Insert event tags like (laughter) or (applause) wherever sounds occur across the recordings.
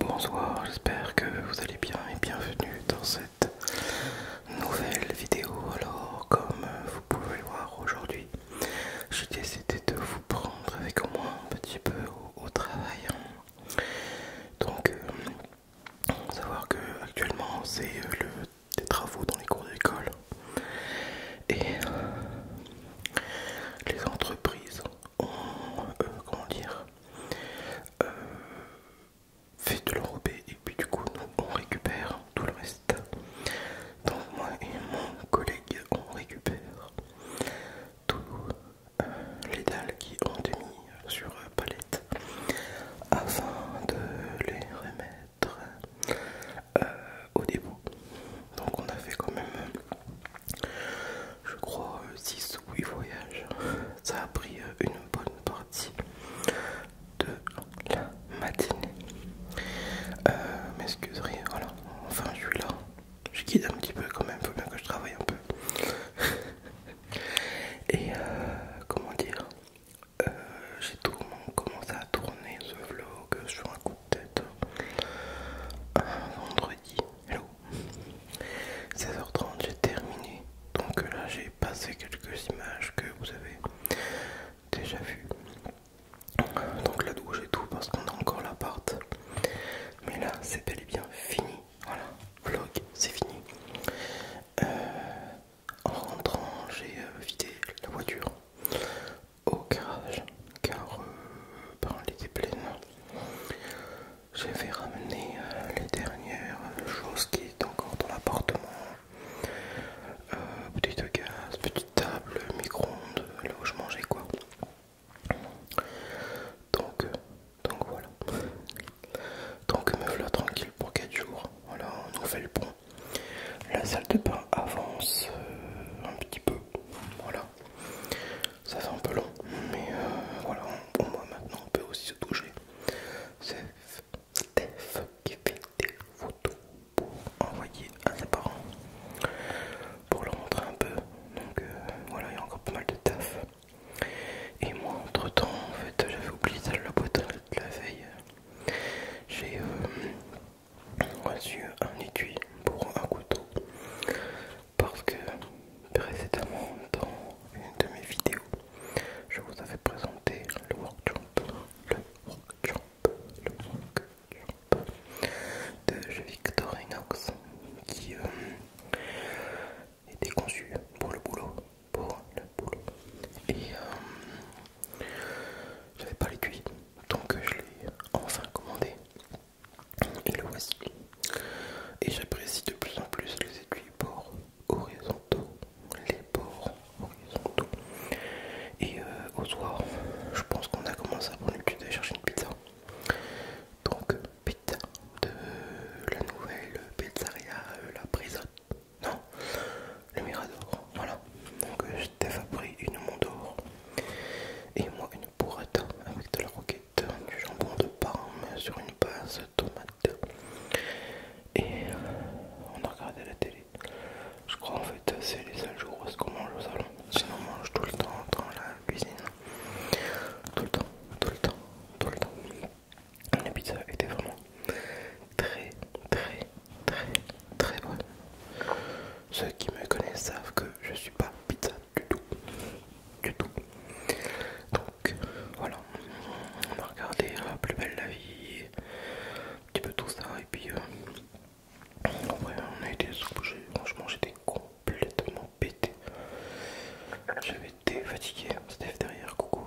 Bonsoir, j'espère que vous allez bien et bienvenue dans cette nouvelle vidéo. Alors, comme vous pouvez le voir aujourd'hui, j'ai décidé de vous prendre avec moi un petit peu au, travail. Hein. Donc, euh, savoir que actuellement c'est euh, le des travaux dans les cours d'école et les entreprises ont, euh, comment dire, fait de l'enrobé et puis du coup nous on récupère tout le reste. Donc moi et mon collègue on récupère tous euh, les dalles qui ont été mises sur euh, palette afin de les remettre euh, au dépôt. Donc on a fait quand même je crois 6 ou 8 voyages. Ça a pris une bonne part de la matinée. Euh, M'excuserie, voilà, enfin je suis là. Je guide un petit peu quand même, faut bien que je travaille un peu. (laughs) Et euh, comment dire, euh, j'ai tout commencé à tourner ce vlog sur un coup de tête euh, un vendredi. Hello, 16h30, j'ai terminé. Donc là, j'ai passé quelques images que vous avez déjà vu. Donc la douche et tout parce qu'on a encore l'appart. Mais là c'est bel et bien fini. Voilà, vlog, c'est fini. Euh, en rentrant, j'ai euh, vidé la voiture au garage car par euh, ben, pleine. J'avais ramené ramener les dernières choses qui étaient encore dans l'appartement euh, de gaz, petite table, micro-ondes, là où je mangeais quoi. Donc, euh, donc voilà. Donc me voilà tranquille pour 4 jours. Voilà, on nous fait le pont. La salle de bain avance euh, un petit peu. Voilà. Ça fait un peu long. Mais voilà, au moins maintenant on peut aussi se toucher. C'est Steph qui des photos pour envoyer à ses parents pour leur montrer un peu. Donc euh, voilà, il y a encore pas mal de taf. Et moi, entre temps, en fait, j'avais oublié ça, la boîte de la veille. J'ai euh, reçu un étui pour un couteau parce que précédemment, dans une de mes vidéos, je vous avais présenté le workshop le rock jump, de rock de Victorinox qui euh, était conçu pour le boulot, pour le boulot. Et euh, j'avais pas les donc je l'ai enfin commandé. Et le voici. Et j'apprécie de plus en plus les étuis pour horizontaux, les bords horizontaux. Et euh, au soir, je pense qu'on a commencé à prendre l'habitude d'aller chercher une pizza. Donc, euh, pizza de euh, la nouvelle pizzeria, la prison, Non, le Mirador. Voilà. Donc, Steph a pris une Mondor et moi une bourrette avec de la roquette, du jambon de parme sur une base tomate et euh, on a regardé la télé. Je crois en fait c'est les seuls jours où est-ce qu'on mange au salon. Sinon on mange tout le temps dans la cuisine. Tout le temps, tout le temps, tout le temps. La pizza était vraiment très très très très bonne. Ceux qui me connaissent savent que je suis pas pizza du tout. Du tout voilà, on a regardé la euh, Plus belle la vie, un petit peu tout ça, et puis euh, après on a été soulagé. Franchement, j'étais complètement pété. J'avais été fatigué. Steph derrière, coucou.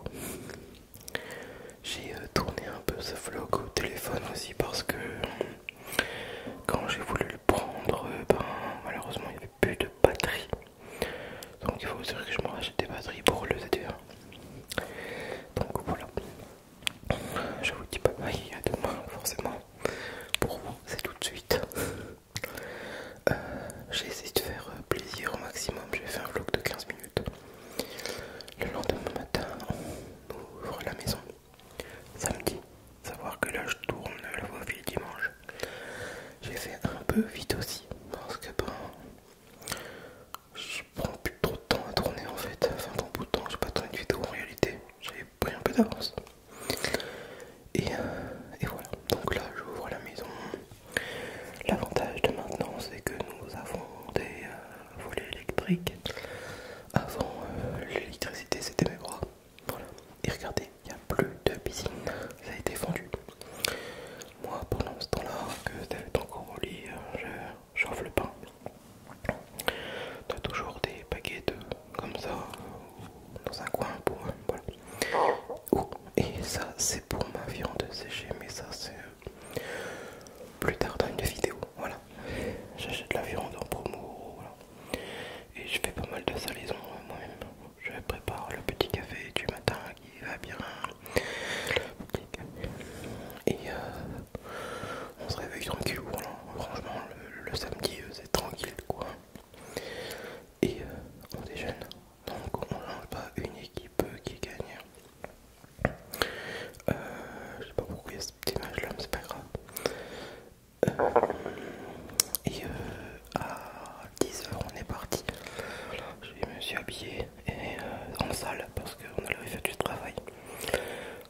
J'ai euh, tourné un peu ce vlog au téléphone aussi parce que quand j'ai voulu le prendre, ben, malheureusement il n'y avait plus de batterie. Donc il faut dire que je me rachète des batteries pour le ZTR. Donc voilà. Je vous dis pas bye, à demain forcément. Pour vous, c'est tout de suite. Euh, j'ai essayé de faire euh, plaisir au maximum, j'ai fait un vlog de 15 minutes. Le lendemain matin, on ouvre la maison. Samedi, savoir que là je tourne la voie dimanche. J'ai fait un peu vite aussi, parce que bon je prends plus trop de temps à tourner en fait, enfin bon bout de temps, vais pas tourné de vidéo en réalité, j'avais pris un peu d'avance. Euh, et, voilà, donc là j'ouvre la maison. L'avantage de maintenant c'est que nous avons des euh, volets électriques. Avant euh, l'électricité c'était mes bras. Voilà. Et regardez, il n'y a plus de piscine, ça a été fendu. Moi, pendant ce temps-là, que t'avais encore au euh, lit, je le pain. as toujours des paquets de comme ça dans un coin pour euh, et ça, c'est pour ma viande séchée, mais ça, c'est euh, plus tard dans une vidéo. Voilà, j'achète la viande en promo. Et je fais pas mal de salaisons moi-même. Je prépare le petit café du matin il va bien. Et euh, on se réveille tranquille. Hein. Franchement, le, samedi, euh, c'est tranquille quoi. Et euh, on déjeune. Donc, on n'a pas une équipe qui gagne. je sais pas pourquoi il y a cette image là, mais c'est pas grave. et à 10h, on est parti. je me suis habillé et en salle parce qu'on a fait du travail.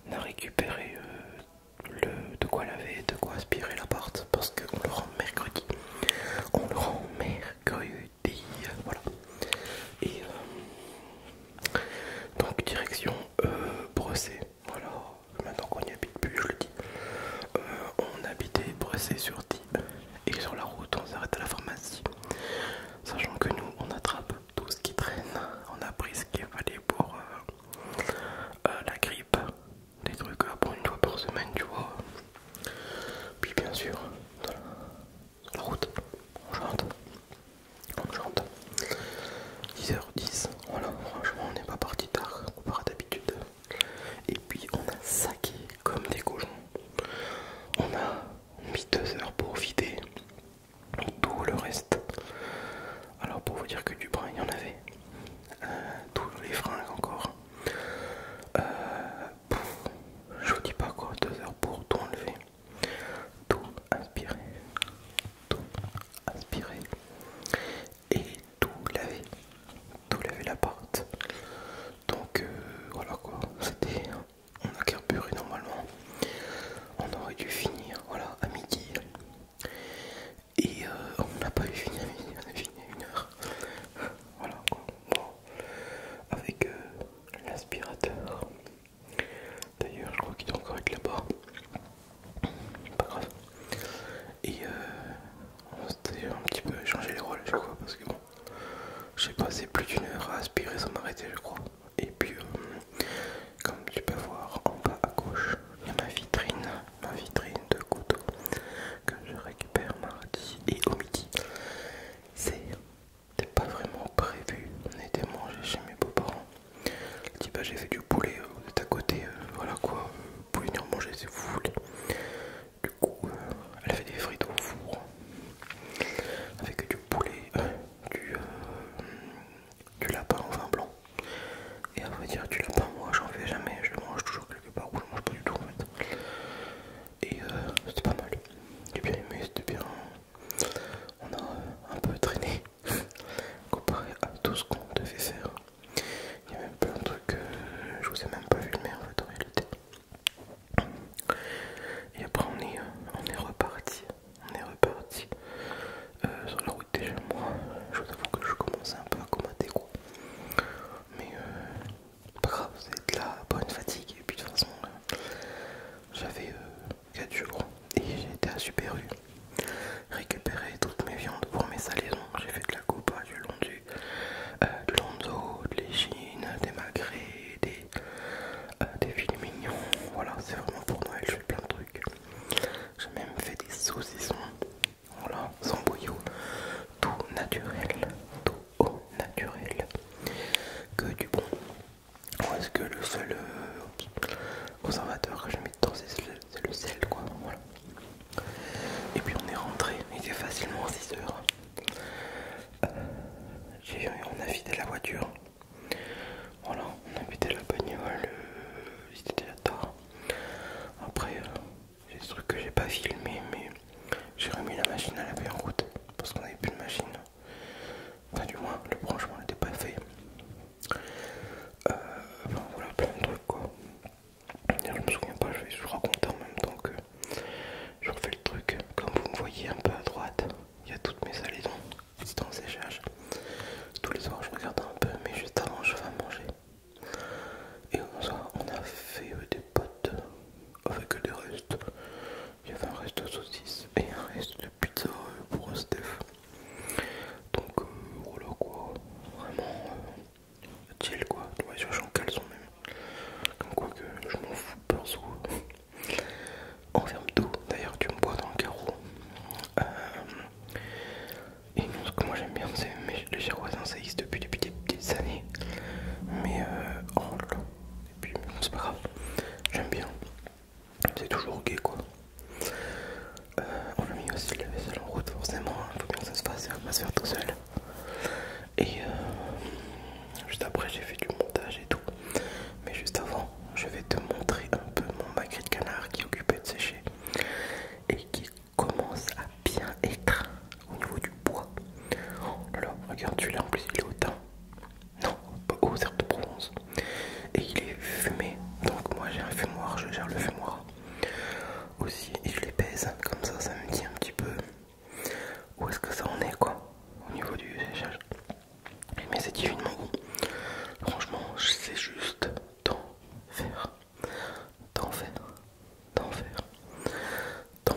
On a récupéré euh, le, de quoi laver, de quoi aspirer l'appart parce qu'on le rend mercredi. On le rend mercredi, voilà. Et euh, donc direction euh, Brossé. voilà. Maintenant qu'on n'y habite plus, je le dis. on habitait brossé sur 10 et sur la route, on s'arrête à la pharmacie. Sachant que nous, on attrape tout ce qui traîne. On a pris ce qu'il fallait pour euh, euh, la grippe. Des trucs pour euh, pour une fois par semaine, tu vois. Puis bien sûr, la, route, on chante. On chante. 10h10, voilà, franchement on n'est pas parti tard on à d'habitude. Et puis on a saqué comme des cochons. On a mis deux heures pour vider tout le reste. Alors pour vous dire que du brin il y en avait. Euh, tous les fringues encore. Euh, je vous dis pas quoi, deux heures pour tout enlever. Tout inspirer. Tout inspirer. Et tout laver tout lever l'appart. Donc euh, voilà quoi, c'était. On a carburé normalement. On aurait dû finir voilà, à midi. Et euh, on n'a pas eu fini à midi, on a fini à une heure. Voilà quoi. Bon. Avec euh, l'aspirateur. D'ailleurs je crois qu'il doit encore être là-bas. Pas grave. Et on s'était un petit peu changé les rôles je crois parce que bon j'ai passé plus d'une heure à aspirer sans m'arrêter, je crois. Et puis, euh, comme tu peux voir en bas à gauche, il y a ma vitrine, ma vitrine de couteau que je récupère mardi et au midi. C'était pas vraiment prévu, on était mangé chez mes beaux-parents. Dis bah, j'ai fait du poulet, vous euh, côté, euh, voilà quoi, vous pouvez venir manger si vous voulez. Du coup, elle fait des frites au four avec du poulet, euh, euh, du, lapin au vin blanc. Et à vous dire, du lapin, moi j'en fais jamais, je mange toujours quelque part ou je mange pas du tout en fait. Et euh, c'était pas mal, j'ai bien aimé, c'était bien. On a un peu traîné (laughs) comparé à tout ce qu'on devait faire. Il y avait même plein de trucs je vous ai même pas filmé en fait en réalité. Et après on est, on est reparti. On est reparti euh, sur la route déjà moi. Je vous avoue que je commençais un peu à combattre quoi. Mais euh, pas grave, c'est de la bonne fatigue. Et puis de toute façon, euh, j'avais 4 jours et j'étais à Super U récupérer toutes mes viandes pour mes salaisons. J'ai fait de la copa, du long du du euh, de Lonzo, de des magrets, des, euh, des mignons. Voilà, c'est vraiment pour Noël, je fais plein de trucs. J'ai même fait des saucissons, voilà, sans bouillot, tout naturel, tout au naturel, que du bon. Est-ce que le seul euh, conservateur que je mets dedans c'est le sel quoi voilà et puis on est rentré, il était facilement 6 heures. J'ai, on a vidé la voiture. Voilà, on a vidé la bagnole, euh, il était déjà tard. Après, euh, j'ai des trucs que j'ai pas filmé, mais j'ai remis la machine à laver en route parce qu'on n'avait plus de machine. Enfin, du moins, le branchement n'était pas fait. Euh, voilà, plein de trucs quoi. Je me souviens pas, je vais vous raconter en même temps que je refais le truc. Comme vous me voyez un peu à droite, il y a toutes mes salaisons dans ces charges. Tous les soirs, je regarde un peu, mais juste avant, je vais manger. Et on a fait euh, des potes avec des restes. Il y avait un reste de saucisse et un reste de pizza euh, pour Steph. Donc euh, voilà quoi, vraiment chill quoi, vois je suis en caleçon même, comme quoi que je m'en fous perso. En ferme d'ailleurs tu me bois dans le carreau. Euh, et non, ce que moi j'aime bien, c'est les Giroisins, ça existe depuis, depuis des petites années. Mais euh, oh là, et puis c'est pas grave, j'aime bien. C'est toujours gay quoi. on a mis aussi la vaisselle en route, forcément, hein. faut bien que ça se fasse, ça va pas se faire tout seul. Et euh, juste après, j'ai fait du montage et tout. Mais juste avant, je vais te montrer un peu mon magret de canard qui est occupé de sécher et qui commence à bien être au niveau du bois. Oh là, regarde celui-là en plus, il est au teint. Non, pas au de bronze Et il est fumé. Donc moi j'ai un fumoir, je gère le fumoir aussi et je les pèse comme ça ça me dit un petit peu où est-ce que ça en est quoi au niveau du séchage mais c'est divinement bon franchement c'est juste faire, d'en faire, d'enfer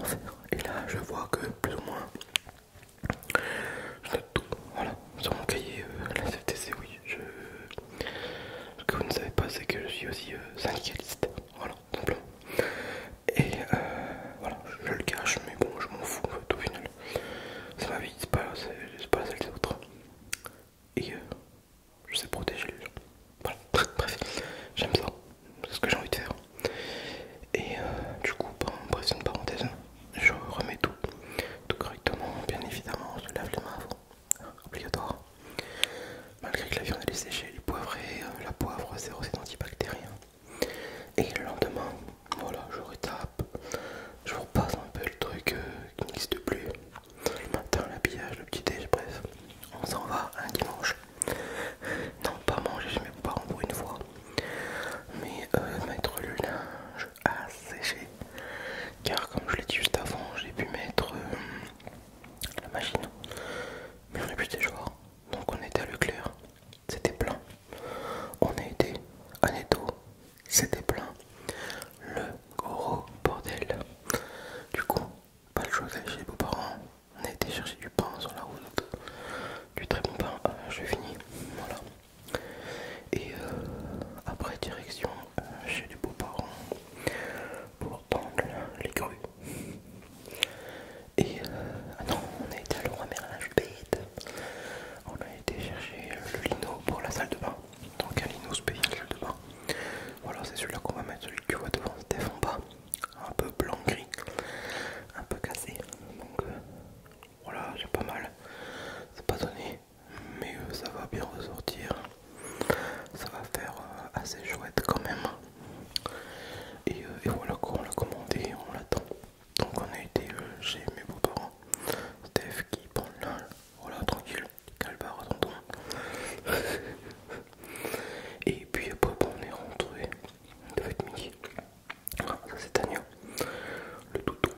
faire. et là je vois que plus ou moins je tout voilà sur mon cahier euh, la CFTC oui je ce que vous ne savez pas, c'est que je suis aussi euh, syndicaliste. Voilà, simplement. Et euh, voilà, je le cache, mais bon, je m'en fous tout au final. C'est ma vie, c'est pas, celle des autres. Et euh, je sais protéger les gens. Voilà, (laughs) bref, j'aime ça, c'est ce que j'ai envie de faire. Et du coup, pas bref, c'est une parenthèse, je remets tout, tout correctement, bien évidemment, je lave les mains avant obligatoire. Malgré que la viande est séchée, les poivrée, euh, la poivre 0,7 antibactérien. Et le lendemain, voilà, je retape, je repasse un peu le truc euh, qui n'existe plus. Le matin, l'habillage, le petit déj, bref, on s'en va un dimanche. Non, pas manger chez mes pas encore une fois, mais euh, mettre le linge à sécher. Car comme je l'ai dit juste avant, j'ai pu mettre la machine. Mais on est plus donc on était à Leclerc, c'était plein. On a été à Netto, c'était plein. Le gros bordel. Du coup, pas le choix d'aller chez les beaux-parents. On a été chercher du pain sur la route, du très bon pain. Euh, je finis, voilà. Et euh, après, direction euh, chez les beaux-parents donc, les grues. Et euh, ah non, on a été à Leroy à la bête. On a été chercher le lino pour la salle de bain. Donc un lino spécial salle de bain. Voilà, c'est celui-là qu'on va mettre, celui que tu vois devant, c'était en bas. Un peu blanc-gris, un peu cassé. Donc euh, voilà, j'ai pas mal. C'est pas donné, mais euh, ça va bien ressortir ça va faire euh, assez chouette quand même euh, et, voilà quoi on l'a commandé on l'attend donc on a été euh, chez mes beaux-parents Steph qui prend le linge voilà tranquille calbar attendons. (laughs) et puis après on est rentré de être midi ah, ça c'est Tania le toutou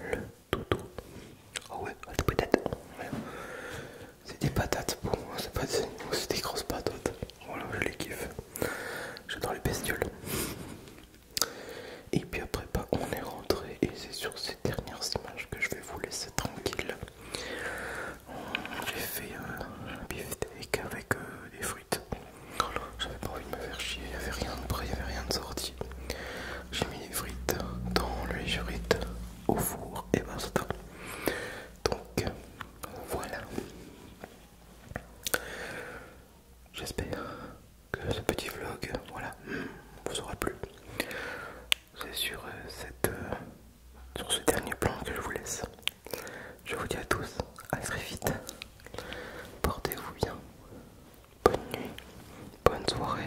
le toutou Oh ouais, ah, des patates. C'est des patates, bon, c'est pas des, des grosses patates. Voilà, je les kiffe. J'adore les bestioles. Et puis après, bah, on est rentré et c'est sur ces dernières images que je vais vous laisser tranquille. J'ai fait euh, un beefsteak avec euh, des frites. J'avais pas envie de me faire chier, il n'y avait rien de prêt, il n'y avait rien de sorti. J'ai mis les frites dans le frites au four et ben Donc voilà. J'espère que ce petit vlog voilà, vous aura plu. C'est sur, euh, cette, euh, sur ce dernier plan que je vous laisse. Je vous dis à tous, à très vite. Portez-vous bien. Bonne nuit, bonne soirée